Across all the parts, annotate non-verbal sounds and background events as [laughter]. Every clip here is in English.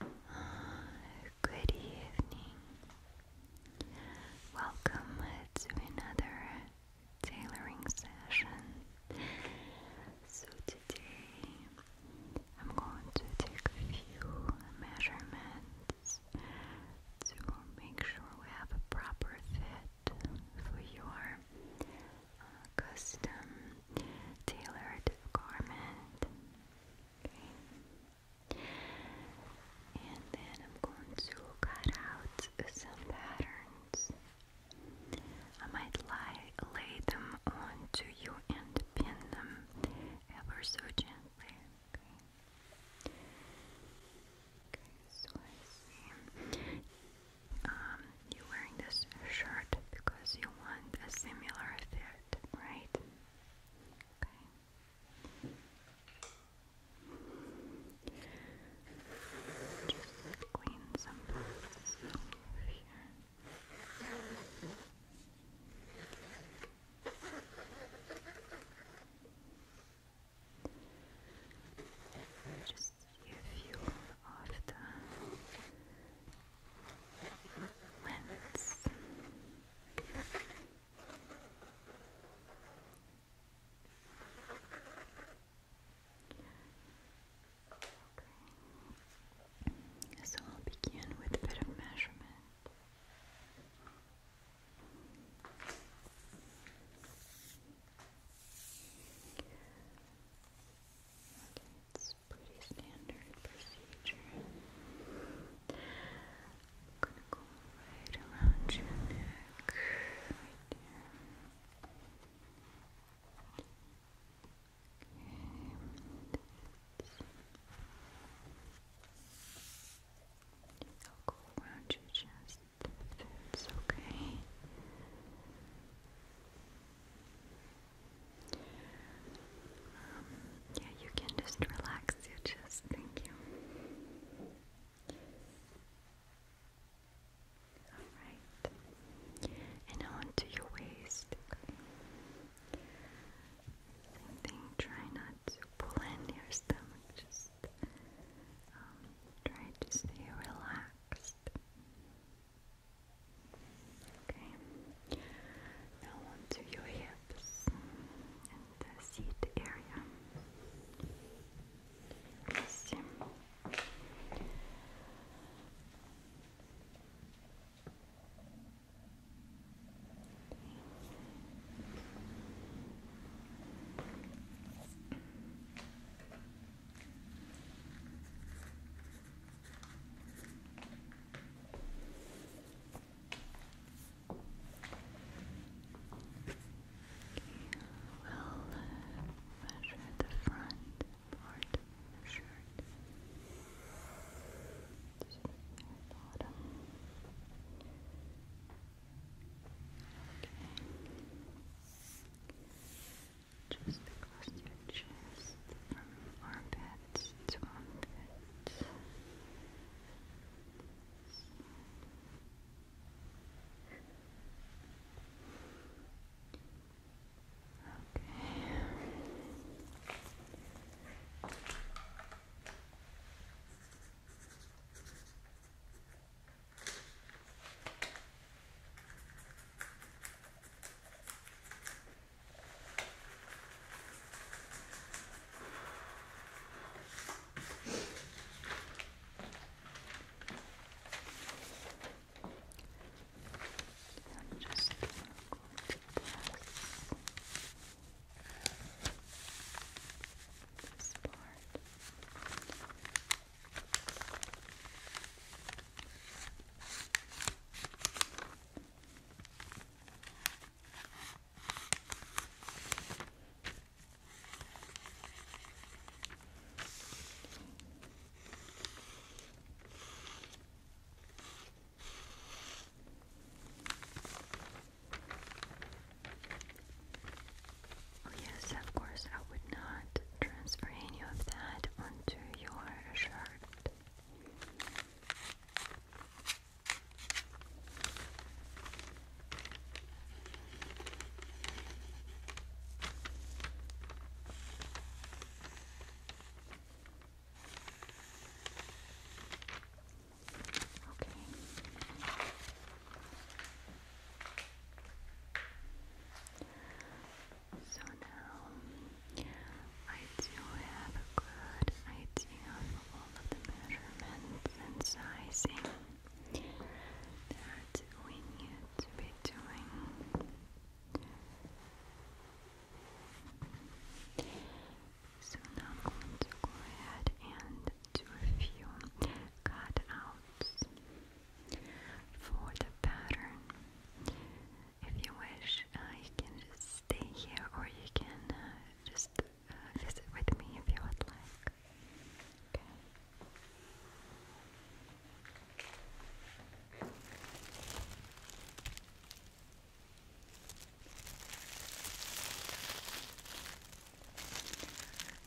Uh, good evening. Welcome to another tailoring session. So, today I'm going to take a few measurements to make sure we have a proper fit for your uh, custom tailored garment. And then I'm going to cut out some patterns. I might lie, lay them onto you and pin them ever so gently. Um, you're wearing this shirt because you want a similar fit, right? Okay. Just clean some boxes over here. Just a you of the So I'll begin with a bit of measurement. Okay, pretty standard procedure. I'm gonna go right around your neck, right there. Okay. I'll go around your chest it's Okay yeah, you can just relax your chest. Thank you. Alright. And onto your waist. Okay. try not to pull in your stomach, just um, try to stay relaxed. Okay. Now onto your hips and the seat area. let We'll measure the front part of the shirt. the bottom. Okay just across your chest from armpits to armpits. Okay. I'm just going to pass this part. Oh, yes, of course, I would not transfer any of that onto your shirt. Okay. So now I do have a good idea of all of the measurements and sizing that we need to be doing. So now I'm going to go ahead and do a few cutouts for the pattern. If you wish, uh, you can just stay here or you can uh, just uh, visit with me if you would like. Okay.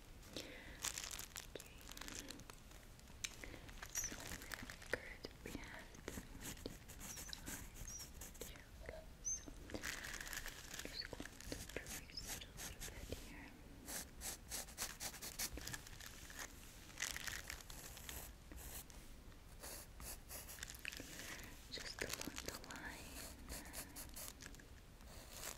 Okay. So good. We have the size okay. So I'm just going to trace it a little bit here. Just along the line. Okay.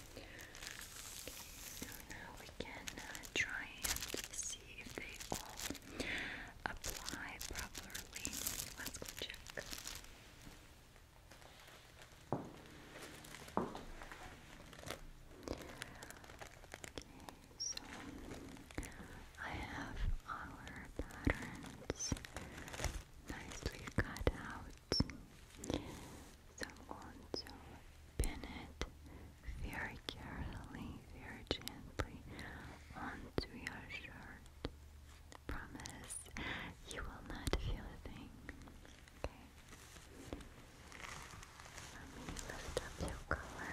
Okay, now we can uh, try and see if they all apply properly. Let's check. Okay, so I have our patterns nicely cut out. So I'm going to pin it very carefully, very gently onto your shirt. Promise you will not feel a thing. Okay. Let me lift up your color.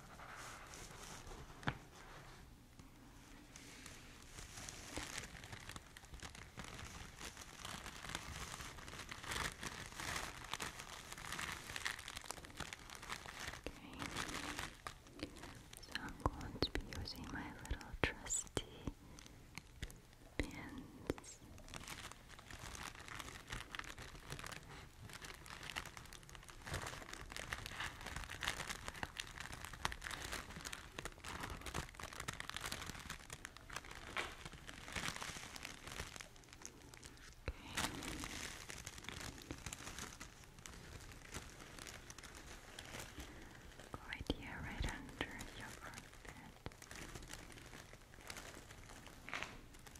So I'm going to be using my little trusty pins. Right here, right under your front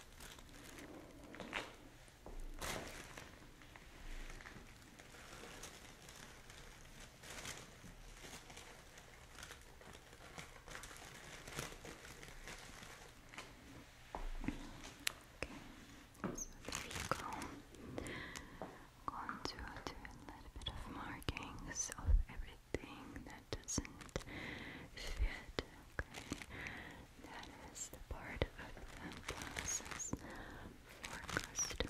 Okay, so there you go. going to do a little bit of markings of everything doesn't fit, okay? That is the part of the for custom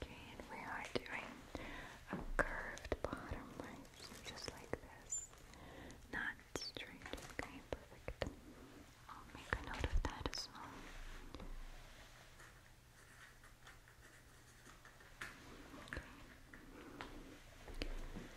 Okay, and we are doing a curved bottom line, just like this. Not straight. Okay, perfect. I'll make a note of that as well.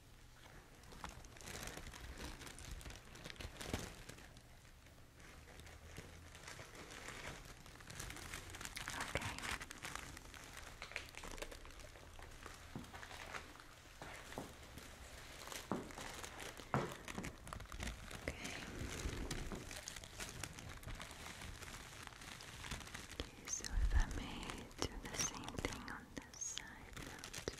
Okay. Okay. Okay, so if I may do the same thing on this side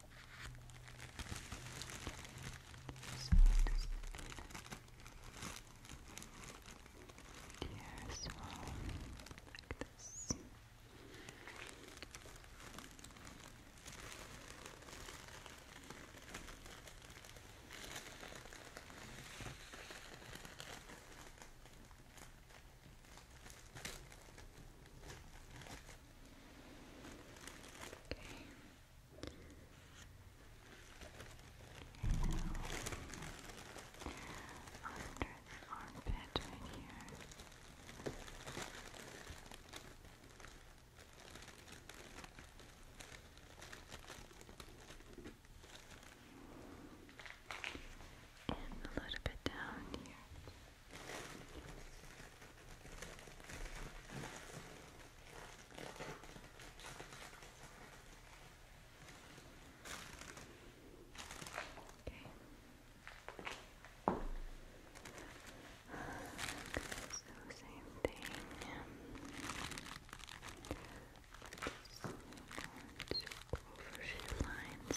So does it here as well, like this. Okay. And now, under the armpit here. And a little bit down here. Okay. So same thing. Just going to go over lines. Okay.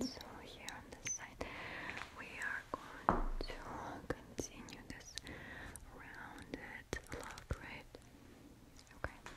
And so here on this side we are going to have you this rounded look, right? Okay.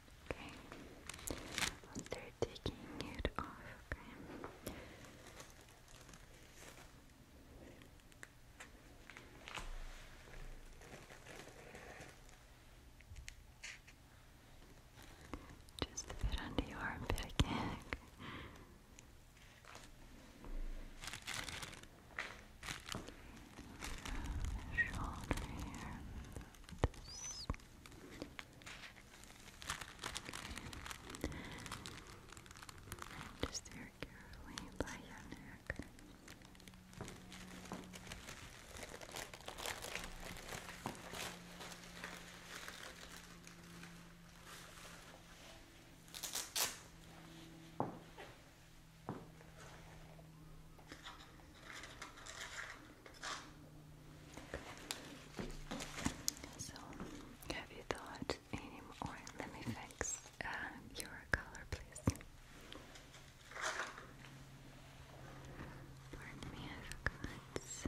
Okay. After taking it off, okay. Just a bit under your armpit again. Shoulder here. This. Okay. Just there carefully by your neck. So, have you thought any Let me fix uh, your color, please. Pardon me, I forgot. Just,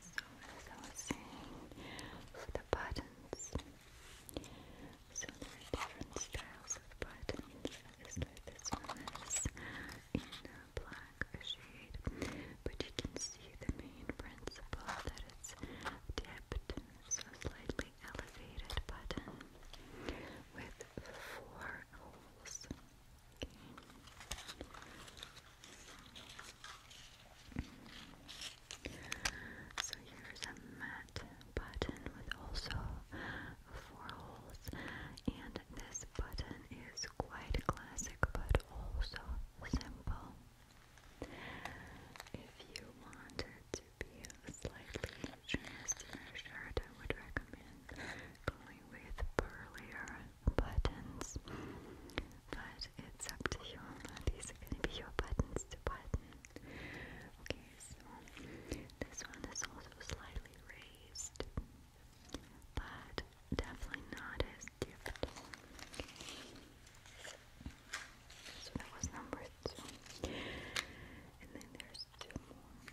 So as I was saying, for the buttons, so there are different styles of buttons. So this one is in a shade, but you can see the main principle that it's dipped, so slightly elevated button with four holes. So here's a matte button with also four holes, and this button is quite classic but also simple. If you wanted to be slightly dressed I would recommend going with burlier buttons. But it's up to you. These are going to be your buttons to button. Okay, this one is also slightly raised, but definitely not as dipped. So that was number two. And then there's two more.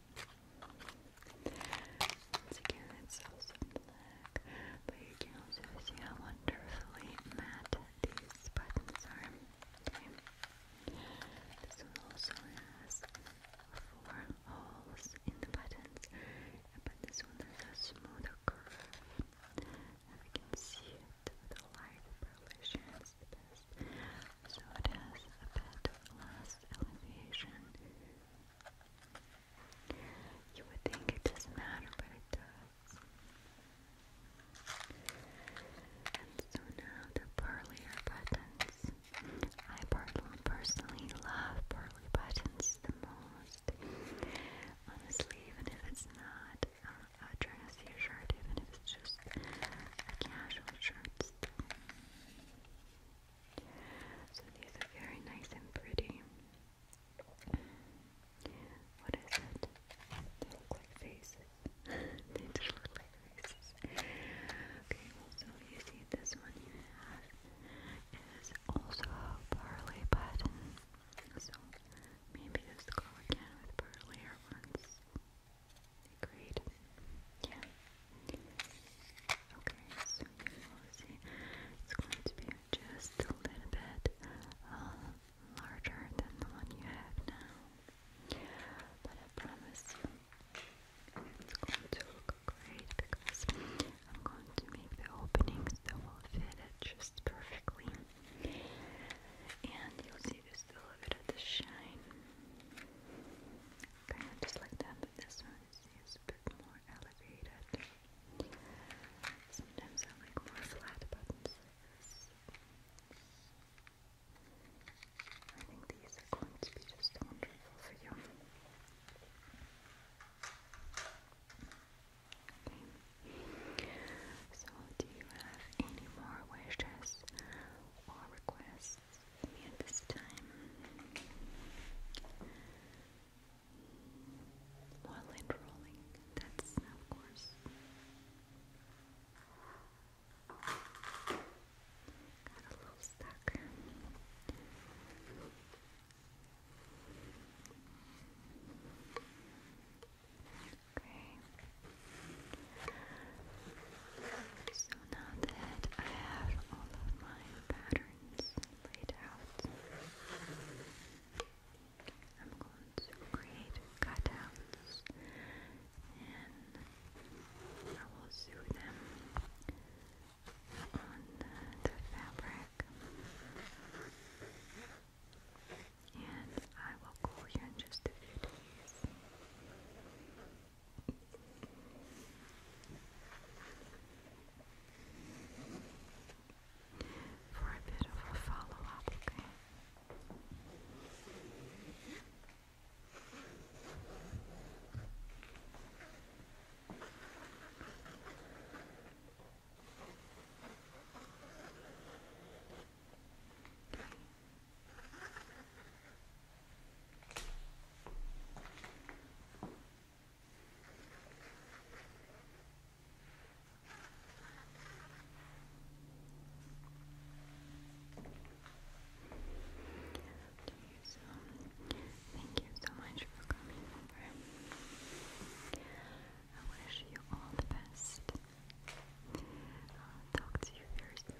Once again, it's also black, but you can also see how wonderfully matte these buttons are. This one also has four holes in the buttons, but this one has a smoother curve. And can see the light probably best. So it has a bit less elevation you would think it doesn't matter, but it does. And so now the pearlier buttons. I personally love pearly buttons the most. Honestly, even if it's not uh, a, dressy shirt, even if it's just a casual shirt. So these are very nice and pretty. What is it? look like faces. they look like faces. [laughs] Okay, so you see this one you have is also a pearly pattern. So maybe just go again with pearlier ones. They Yeah. Okay, so you will see it's going to be just a little bit larger than the one you have now. But I promise you, it's going to look great because I'm going to make the openings that will fit it just perfectly. And you'll see just a little bit of the shine. Kind of just like that, but this one is a bit more elevated. Sometimes I like more flat buttons I think these are going to be just wonderful for you. Okay. So, do you have any more wishes or requests me at this time. While it that's of course. Got a little stuck. Okay. So now that I have all of my patterns laid out, I'm going to create cutouts and I will sew them on the fabric. And I will call you in just a few days for a bit of a follow up, thank you so much for coming over. I wish you all the best. talk to you very